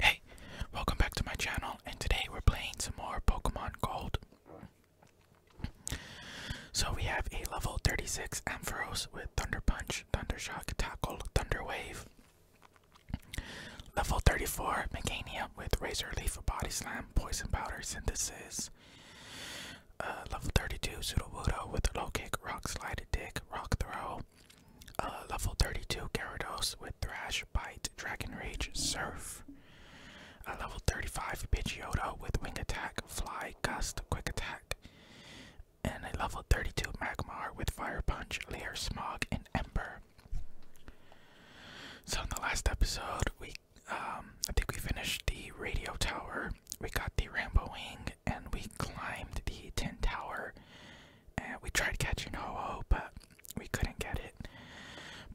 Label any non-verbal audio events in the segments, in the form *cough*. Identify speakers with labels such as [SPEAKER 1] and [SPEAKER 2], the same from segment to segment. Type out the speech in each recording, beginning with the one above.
[SPEAKER 1] Hey, welcome back to my channel, and today we're playing some more Pokemon Gold. So we have a level 36 Ampharos with Thunder Punch, Thunder Shock, Tackle, Thunder Wave. Level 34 Megania with Razor Leaf, Body Slam, Poison Powder, Synthesis. Uh, level 32 Sudowoodo with Low Kick, Rock Slide, Dig, Rock Throw. Uh, level 32 Gyarados with Thrash, Bite, Dragon Rage, Surf. A level 35 Pidgeotto with Wing Attack, Fly, Gust, Quick Attack. And a level 32 Magmar with Fire Punch, Layer, Smog, and Ember. So in the last episode, we um, I think we finished the radio tower. We got the Rambo wing, and we climbed the tin tower, and we tried catching Ho-Oh, but we couldn't get it.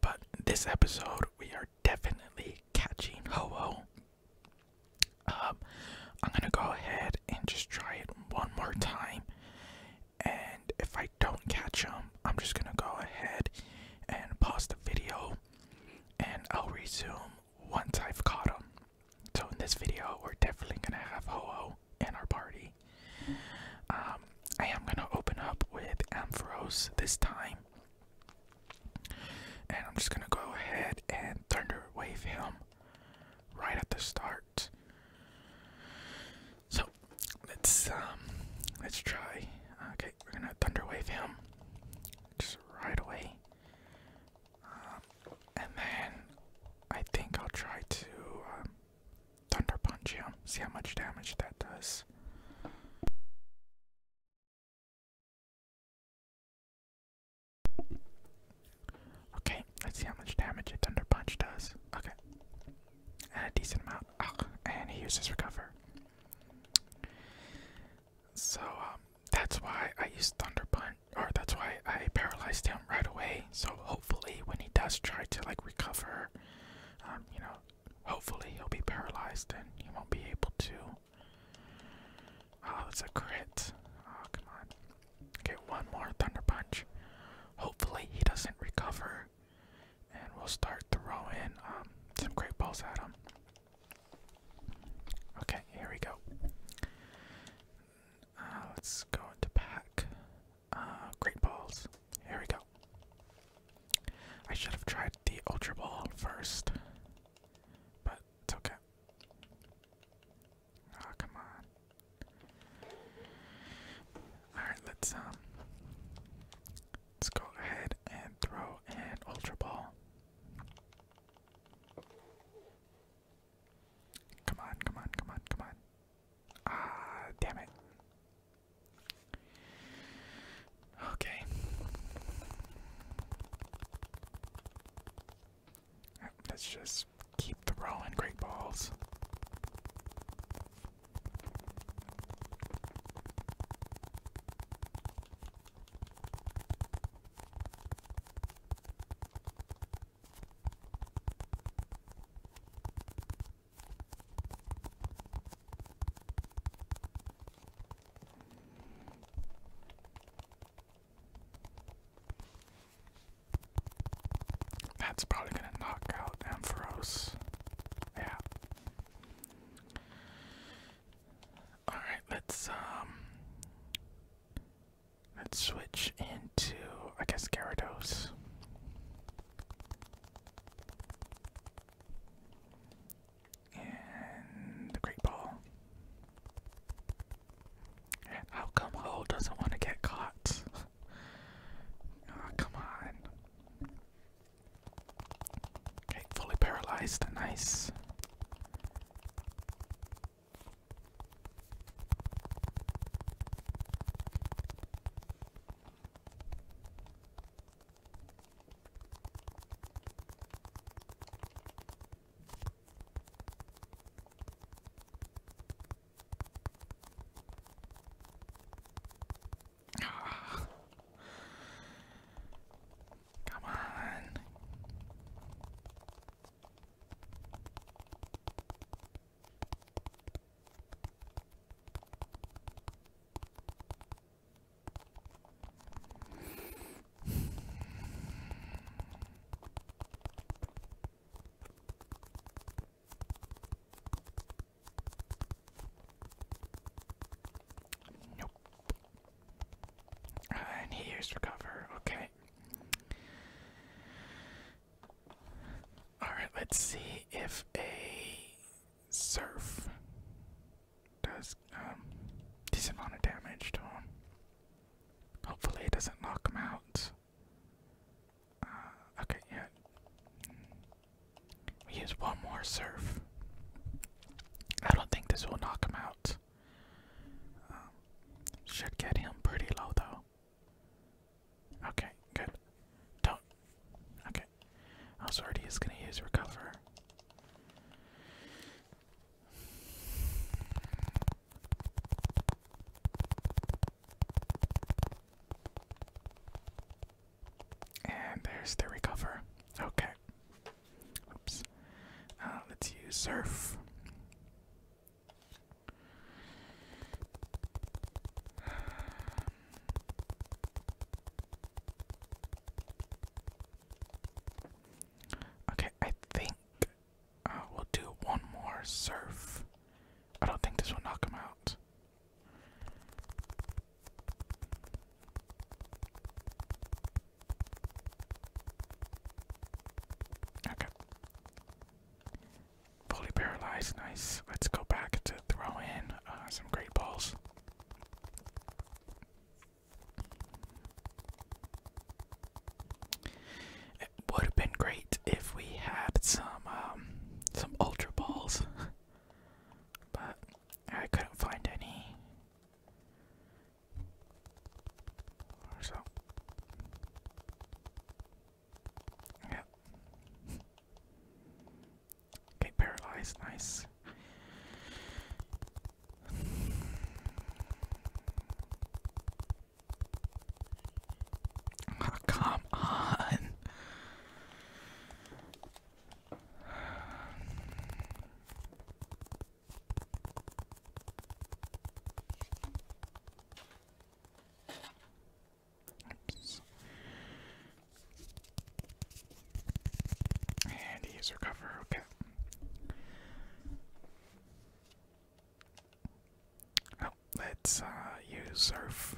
[SPEAKER 1] But this episode, we are definitely catching Ho-Oh. Um, I'm gonna go ahead and just try it one more time, and if I don't catch him, I'm just gonna go ahead and pause the video, and I'll resume once I've caught him. So in this video, we're definitely gonna have Ho-Oh people in our party. Um, I am gonna open up with Ampharos this time, and I'm just gonna go ahead and thunder wave him right at the start. So let's um let's try. Okay, we're gonna thunder wave him just right away. Um, and then I think I'll try to um, Thunder Punch him. See how much damage that does. Okay, let's see how much damage a Thunder Punch does. Okay. a decent amount. Ugh. And he uses Recover. So, um, that's why I used Thunder Punch, or that's why I paralyzed him right away. So hopefully, when he does try to like recover, um, you know, hopefully he'll be paralyzed and he won't be able to. Oh, it's a crit. Oh, come on. Okay, one more thunder punch. Hopefully, he doesn't recover, and we'll start throwing um, some great balls at him. Okay, here we go. Uh, let's go into pack. Uh, great balls. Here we go. I should have tried the Ultra Ball first, but it's okay. Oh, come on. Alright, let's, um, let's go ahead and throw an Ultra Ball. Come on, come on, come on, come on. Ah, damn it. Okay. Let's just keep throwing great balls. That's probably going to knock out Ampharos. Yeah. All right, let's um let's switch into I guess Gyarados. And the great ball. How come Ho doesn't want to get caught? *laughs* come on. Okay, fully paralyzed. Nice. Ah. Come on. Nope. And he recover. Okay. Alright, let's see if a surf does um decent amount of damage to him. Hopefully it doesn't knock him out. Uh, okay, yeah. We use one more surf. I don't think this will knock him out. Um, should get him pretty low though. Okay, good. Don't. Okay. Also, oh, already is gonna use recover. And there's the recover. Okay. Oops. Uh, let's use surf. Okay, I think uh, we'll do one more surf. I don't think this will knock him out. Okay. Fully paralyzed, nice. Let's go back to throw in uh, some great balls. It would have been great if we had some um, some ultra balls, *laughs* but I couldn't find any. so. Yeah. Okay, paralyzed, nice. Ah, come on. And he's cover. okay. Oh, let's uh, use surf.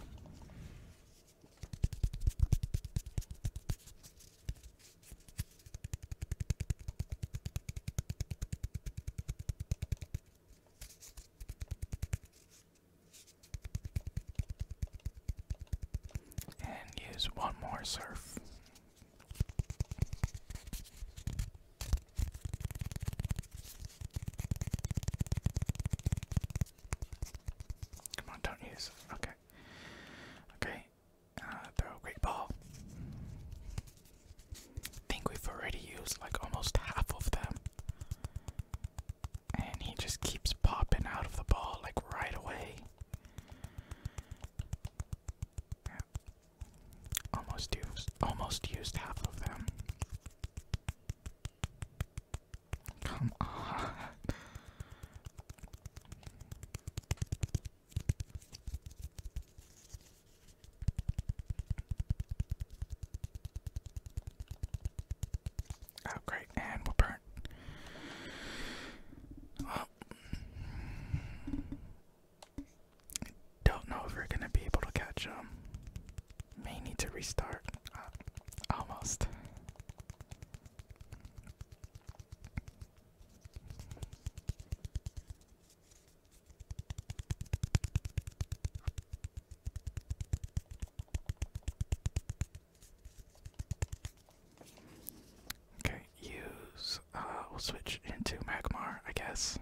[SPEAKER 1] And use one more surf. Come on, don't use. Okay. Okay. Uh, throw great ball. I think we've already used like almost half of them. And he just keeps popping out of the ball like right away. Almost used almost used half of them. Come on. Oh, great, and we're burnt. don't know if we're gonna be able to catch them. May need to restart. Uh, almost. Okay, use. Uh, we'll switch into Magmar, I guess.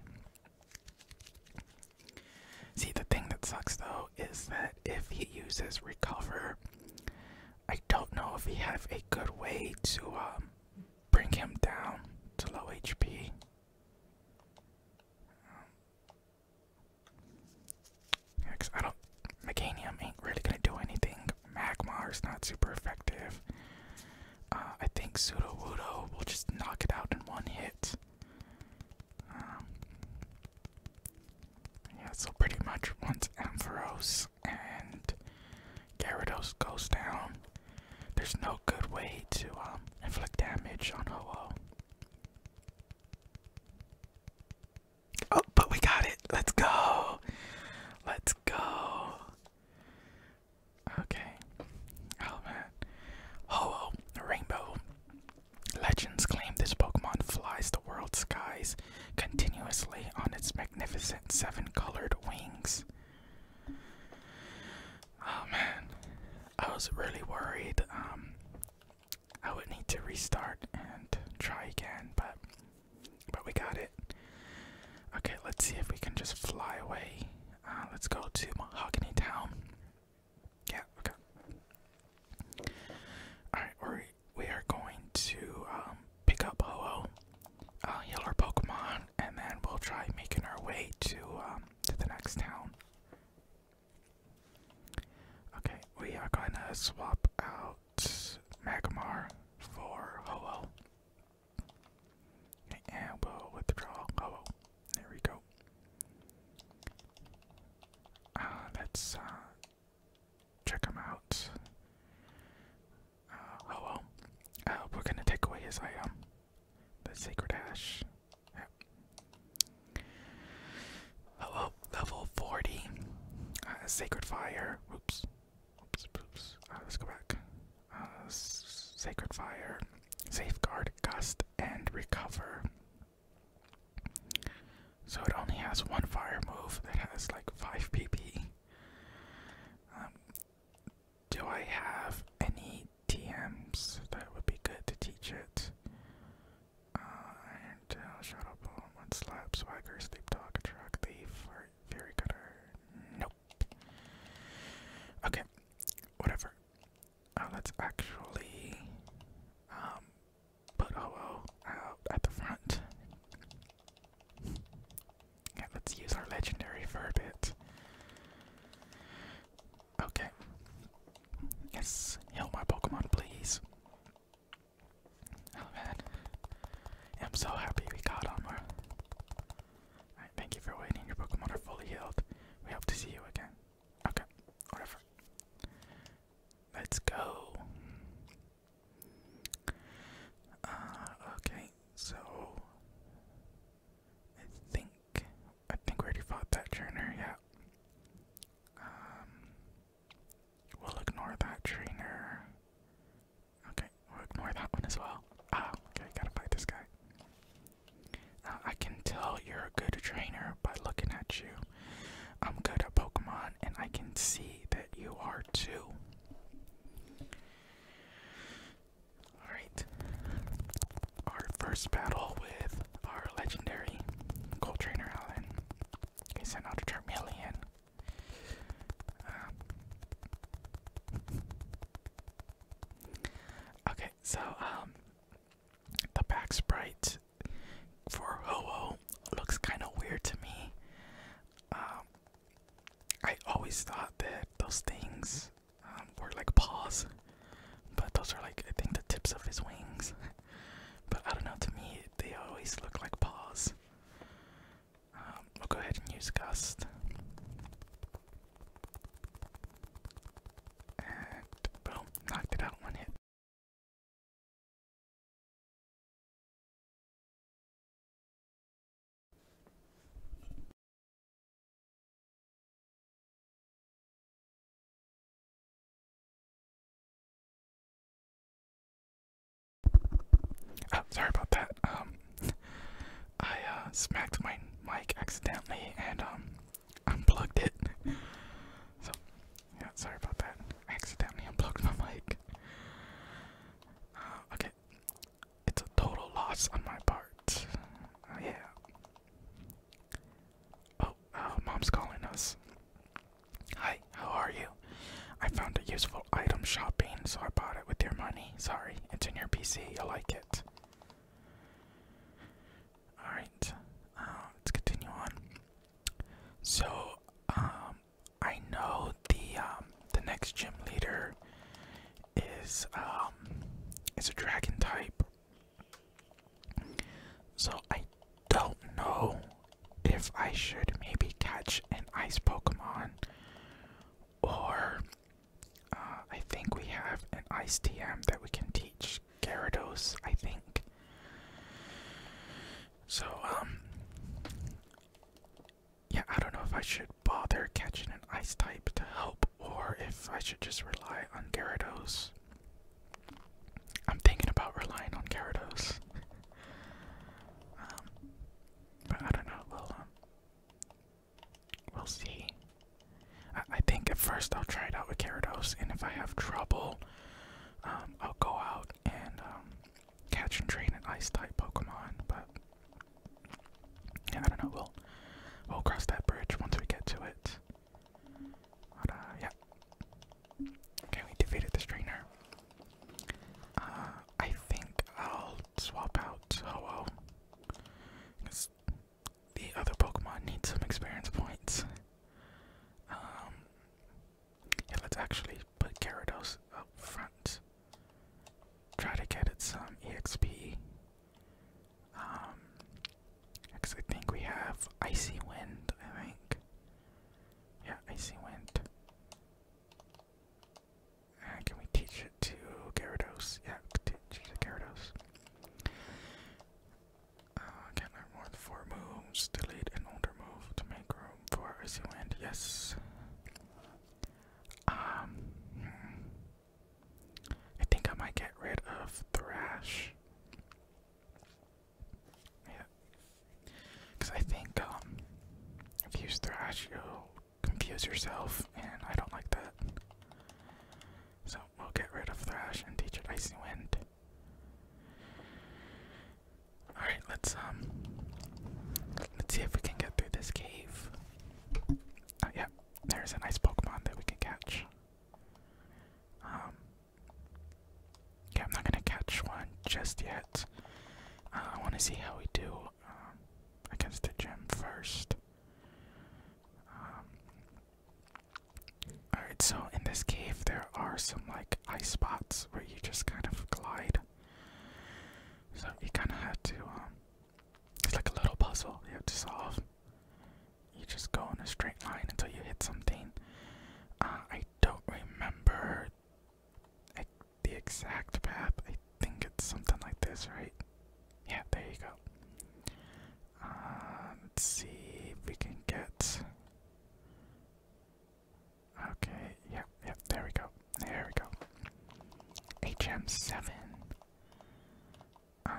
[SPEAKER 1] See, the thing that sucks though is that if he uses Recover, I don't know if we have a good way to um, bring him down to low HP. Yeah, I don't. Meganium ain't really gonna do anything. is not super effective. Uh, I think Pseudo Wudo will just knock it out in one hit. Um, yeah, so pretty much once Ampharos and Gyarados goes down, there's no good way to um, inflict damage on Ho-Oh. Oh, but we got it. Let's go. Let's go. Okay. Oh man. oh, Rainbow. Legends claim this Pokemon flies the world's skies continuously on its magnificent seven colored wings. Oh man. I was really worried um, I would need to restart and try again, but but we got it. Okay, let's see if we can just fly away. Uh, let's go to Mahogany Town. Yeah, okay. Alright, we're, we are going to um, pick up Ho-Oh, uh, heal our Pokemon, and then we'll try making our way to, um, to the next town. Okay, we are gonna swap out Magmar for Ho-Oh. And we'll withdraw Ho-Oh. There we go. Uh, let's uh, check him out. Uh, Ho-Oh. Uh, we're gonna take away his item, the Sacred Ash. Hello, level 40. Uh, sacred Fire. Oops. Oops, oops. Uh, let's go back. Uh, sacred Fire. Safeguard, Gust, and Recover. So it only has one fire move that has like 5 PP. Um, do I have any TMs that would be good to teach it? Uh, iron tail, shadow bone, one slap, swagger, sleep talk, truck, thief, fury cutter. Nope. Okay, whatever. Uh, let's actually um put OO out at the front. Yeah, let's use our legendary verb a bit. Okay. Yes, heal my Pokemon, please. Oh man, I'm so happy we got Armor. thank you for waiting. Your Pokemon are fully healed. We hope to see you again. Okay, whatever. Let's go. Uh, okay, so I think I think we already fought that trainer. Yeah. Um, we'll ignore that trainer. Okay, we'll ignore that one as well. Ah, okay, gotta fight this guy. Uh, I can tell you're a good trainer by looking at you. I'm good at Pokemon, and I can see that you are too. Alright, our first battle with our legendary Gold Trainer Allen. It's another Charmeleon. Uh. okay, so um, the back sprite for ho looks kind of weird to me. Um, I always thought that those things um, were like paws, but those are like I think the tips of his wings. *laughs* but I don't know. To me, they always look like paws. Um, we'll go ahead and use gust. And boom, knocked it out one hit. Oh, sorry about that. Um, I uh, smacked my mic accidentally and um, unplugged it. So, yeah, sorry about that. I accidentally unplugged my mic. Uh, okay, it's a total loss on my part. Uh, yeah. Oh, uh, mom's calling us. Hi, how are you? I found a useful item shopping, so I bought it with your money. Sorry, it's in your PC. You like it. Alright, uh, let's continue on. So, um, I know the um, the next gym leader is um is a dragon type. So I don't know if I should maybe catch an ice Pokemon or uh, I think we have an ice TM that we can teach Gyarados, I think. So, um, yeah, I don't know if I should bother catching an ice type to help or if I should just rely on Gyarados. I'm thinking about relying on Gyarados. Um, but I don't know. We'll um, we'll see. I, think at first I'll try it out with Gyarados, and if I have trouble, um, I'll go out and catch and train an Ice type Pokemon. But yeah, I don't know. We'll we'll cross that bridge once we get to it. But, yeah. Okay, we defeated this trainer. Uh, I think I'll swap out Ho-Oh. the other Pokemon need some experience points. Um, let's actually put Gyarados up front. Try to get it some EXP. Um, I think we have Icy Wind, I think. Yeah, icy wind. Uh, can we teach it to Gyarados? Yeah, teach it to Gyarados. Uh, can learn more than four moves. Delete an older move to make room for icy wind. Yes. Um, hmm. I think I might get rid of Thrash. Yeah. Because I think um, if you use Thrash, you'll confuse yourself, and I don't like that. So we'll get rid of Thrash and teach it Icy Wind. Alright, let's um let's see if we can get through this cave. Oh there's a nice Pokemon that we can catch. Um Okay, I'm not gonna catch one just yet. Uh, I want to see how we do um, against the gym first. Um, alright, so in this cave, there are some like ice spots where you just kind of glide. So you kind of have to, um, it's like a little puzzle you have to solve. You just go in a straight line until you hit something. Uh, I don't remember the exact path. I think it's something like this, right? Yeah, there you go. Uh, let's see if we can get. Okay, yep, yep, there we go. There we go. HM7. Uh,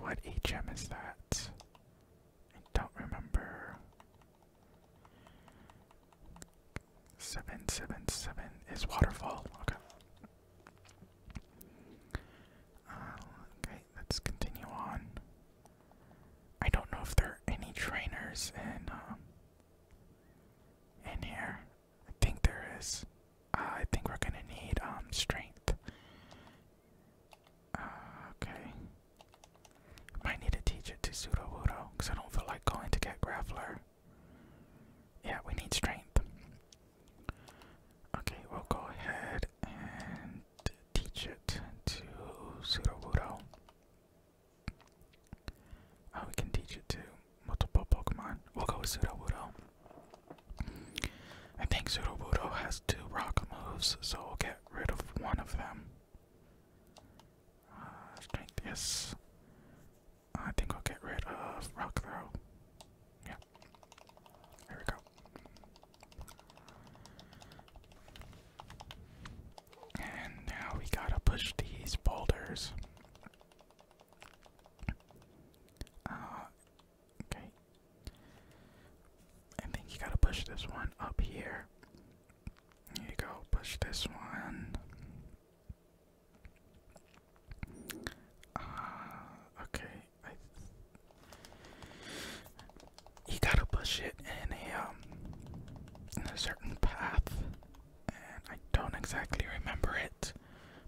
[SPEAKER 1] what HM is that? I don't remember. Seven, seven, seven is waterfall. Okay. Uh, okay, let's continue on. I don't know if there are any trainers in um, in here. I think there is. Uh, I think we're gonna need um, strength. Uh, okay. Might need to teach it to Pseudo Wudo, because I don't feel like going to get Graveler. Yeah, we need strength. Okay, we'll go ahead and teach it to Pseudo Wudo. Oh, we can teach it to multiple Pokemon. We'll go with Pseudo Wudo. I think Pseudo Wudo has two rock moves, so we'll get rid of one of them strength, yes. I think I'll get rid of rock throw. Yeah. There we go. And now we gotta push these boulders. Uh, okay. I think you gotta push this one up here. Here you go, push this one. Uh, okay, You gotta push it in a, um, in a certain path, and I don't exactly remember it,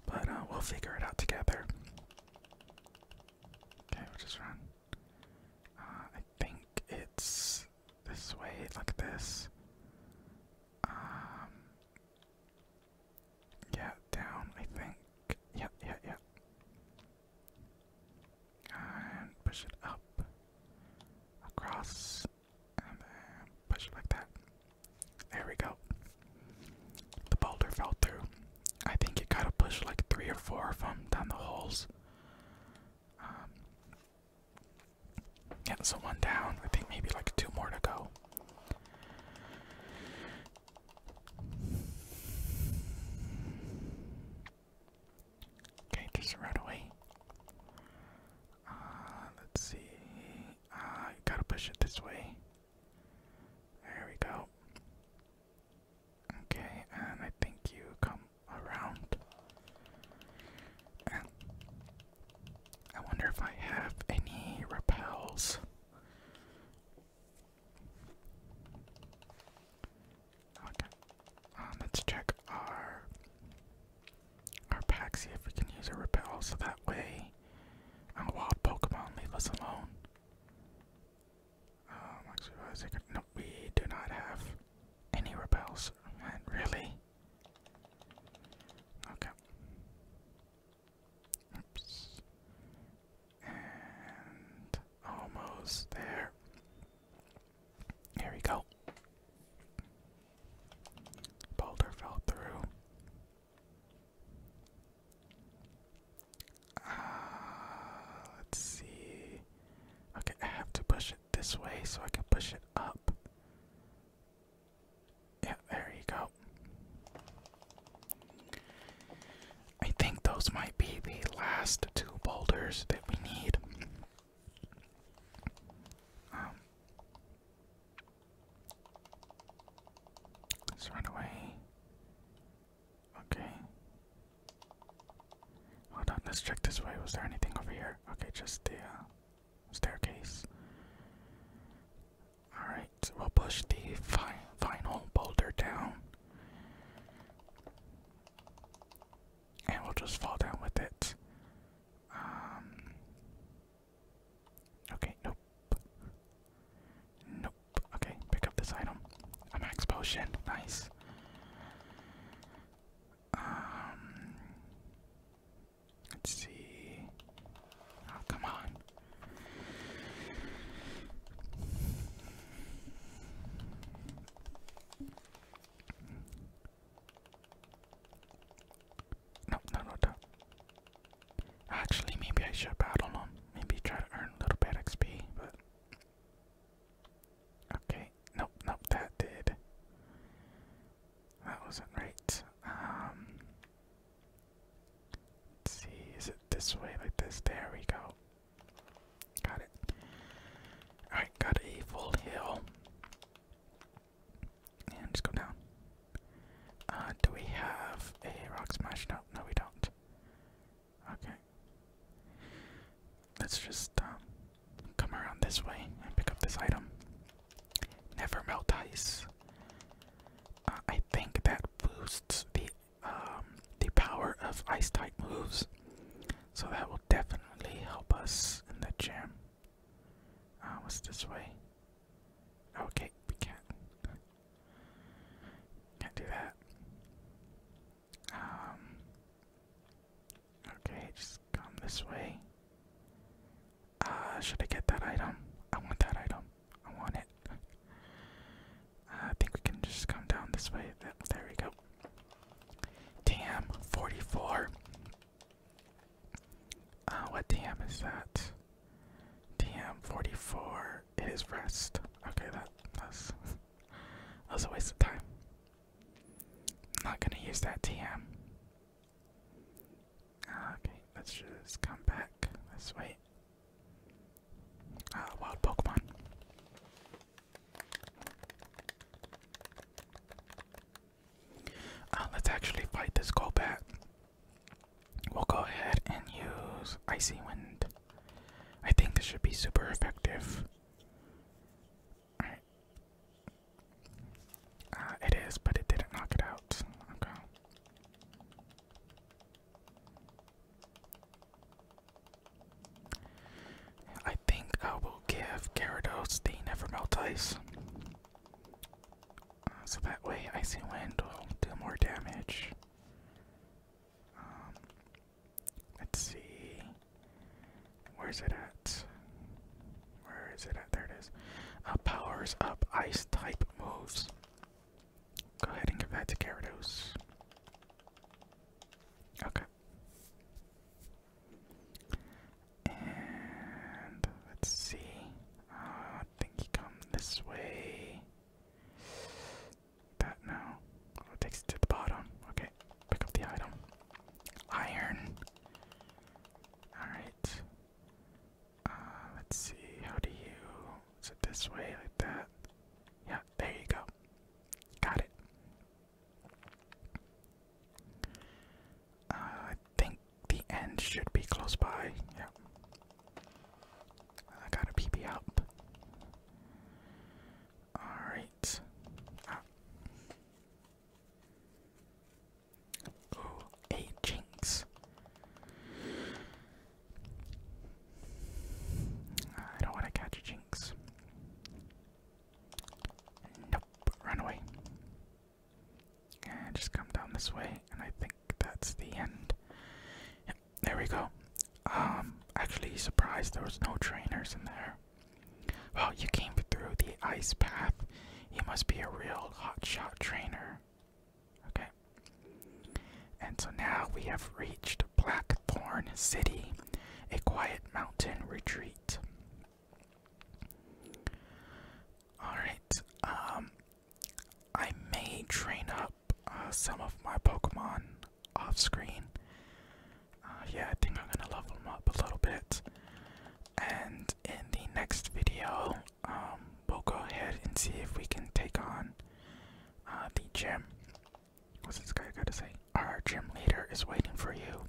[SPEAKER 1] but uh, we'll figure it out together. Okay, we'll just run. Uh, I think it's this way, like this. Um, yeah, down, I think. Yeah, yeah, yeah. And push it up, across, and then push it like that. There we go. The boulder fell through. I think it got a push like three or four of them down the holes. Um, yeah, so one down. I think maybe like two more to go. Okay, just right away. Uh, let's see. Uh, gotta push it this way. There we go. Okay, and I think you come around. I wonder if I have any repels. Okay. Um, let's check our our pack, see if we can use a repel so that way wild Pokemon leave us alone. Oh, no, we do not have any repels. Man, really? Okay. Oops. And almost there. Here we go. Boulder fell through. Uh, let's see. Okay, I have to push this way so I can push it up. Yeah, there you go. I think those might be the last two boulders that we need. Um, let's run away. Okay. Hold on, let's check this way. Was there anything over here? Okay, just the uh, staircase. Alright, we'll push the final boulder down. And we'll just fall down with it. Um, okay, nope. Nope. Okay, pick up this item. A max potion. Nice. Um, let's see. Oh, come on. No, no, no, no. Actually, maybe I should battle him. Maybe try to earn a little bit XP, but Okay, nope, nope, that did. That wasn't right. Um, see, is it this way, like this? There we go. Got it. Alright, got a full hill. And just go down. Uh, do we have a rock smash? No, no, we don't. Okay let's just um, come around this way and pick up this item. Never melt ice. Uh, I think that boosts the um, the power of ice type moves, so that will definitely help us in the gym. Uh, what's this way? Okay, we can't. Can't do that. Um, okay, just come this way. Uh, should I get that item? I want that item. I want it. uh, I think we can just come down this way. There we go. Damn, 44. Uh, what damn is that? Damn, 44. It is rest. Okay, that, that's, *laughs* that was a waste of time. I'm not gonna use that TM. Ah, okay, let's just come back. Let's wait. Ah, wild Pokemon. Ah, let's actually fight this Golbat. We'll go ahead and use Icy Wind. I think this should be super effective. Uh, it is, but it didn't knock it out. I think I will give Gyarados the Never Melt Ice. Uh, so that way Icy Wind will do more damage. Um, Let's see. Where's it at? Where is it at? There it is. Uh, powers up ice type moves. Go ahead and give that to Gyarados. Okay. And let's see. Uh, I think he comes this way. That no. Oh, takes it to the bottom. Okay. Pick up the item. Iron. Alright. Uh, let's see. How do you. Is it this way? Like that? Yeah, there you go. Got it. Uh, I think the end should be close by. Yeah. I got a PP up. Alright. Ah. Ooh, a jinx. I don't want to catch a jinx. Nope, run away. And just come down this way, and I think that's the end. there we go. Um, actually, surprised there was no trainers in there. Well, you came through the ice path. You must be a real hotshot trainer. Okay. And so now we have reached Blackthorn City, a quiet mountain retreat. Alright, um, I may train up uh, some of my Pokemon off screen. Uh, yeah, I think I'm gonna level them up a little bit. And in the next video, um, we'll go ahead and see if we can take on uh, the gym. What's this guy gotta say? Our gym leader is waiting for you.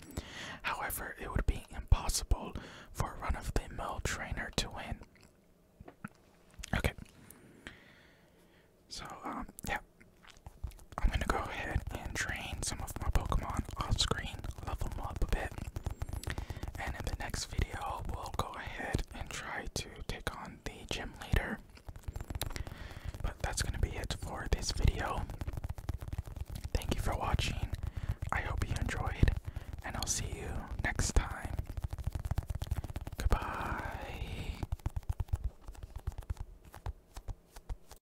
[SPEAKER 1] However, it would be impossible for a run of the mill trainer to win. Okay. So, um, yeah, I'm gonna go ahead and train some of my Pokemon off screen, level them up a bit. And in the next video, we'll go ahead and try to take on the gym leader. But that's gonna be it for this video. Thank you for watching. I hope you enjoyed, and I'll see you next time. Goodbye.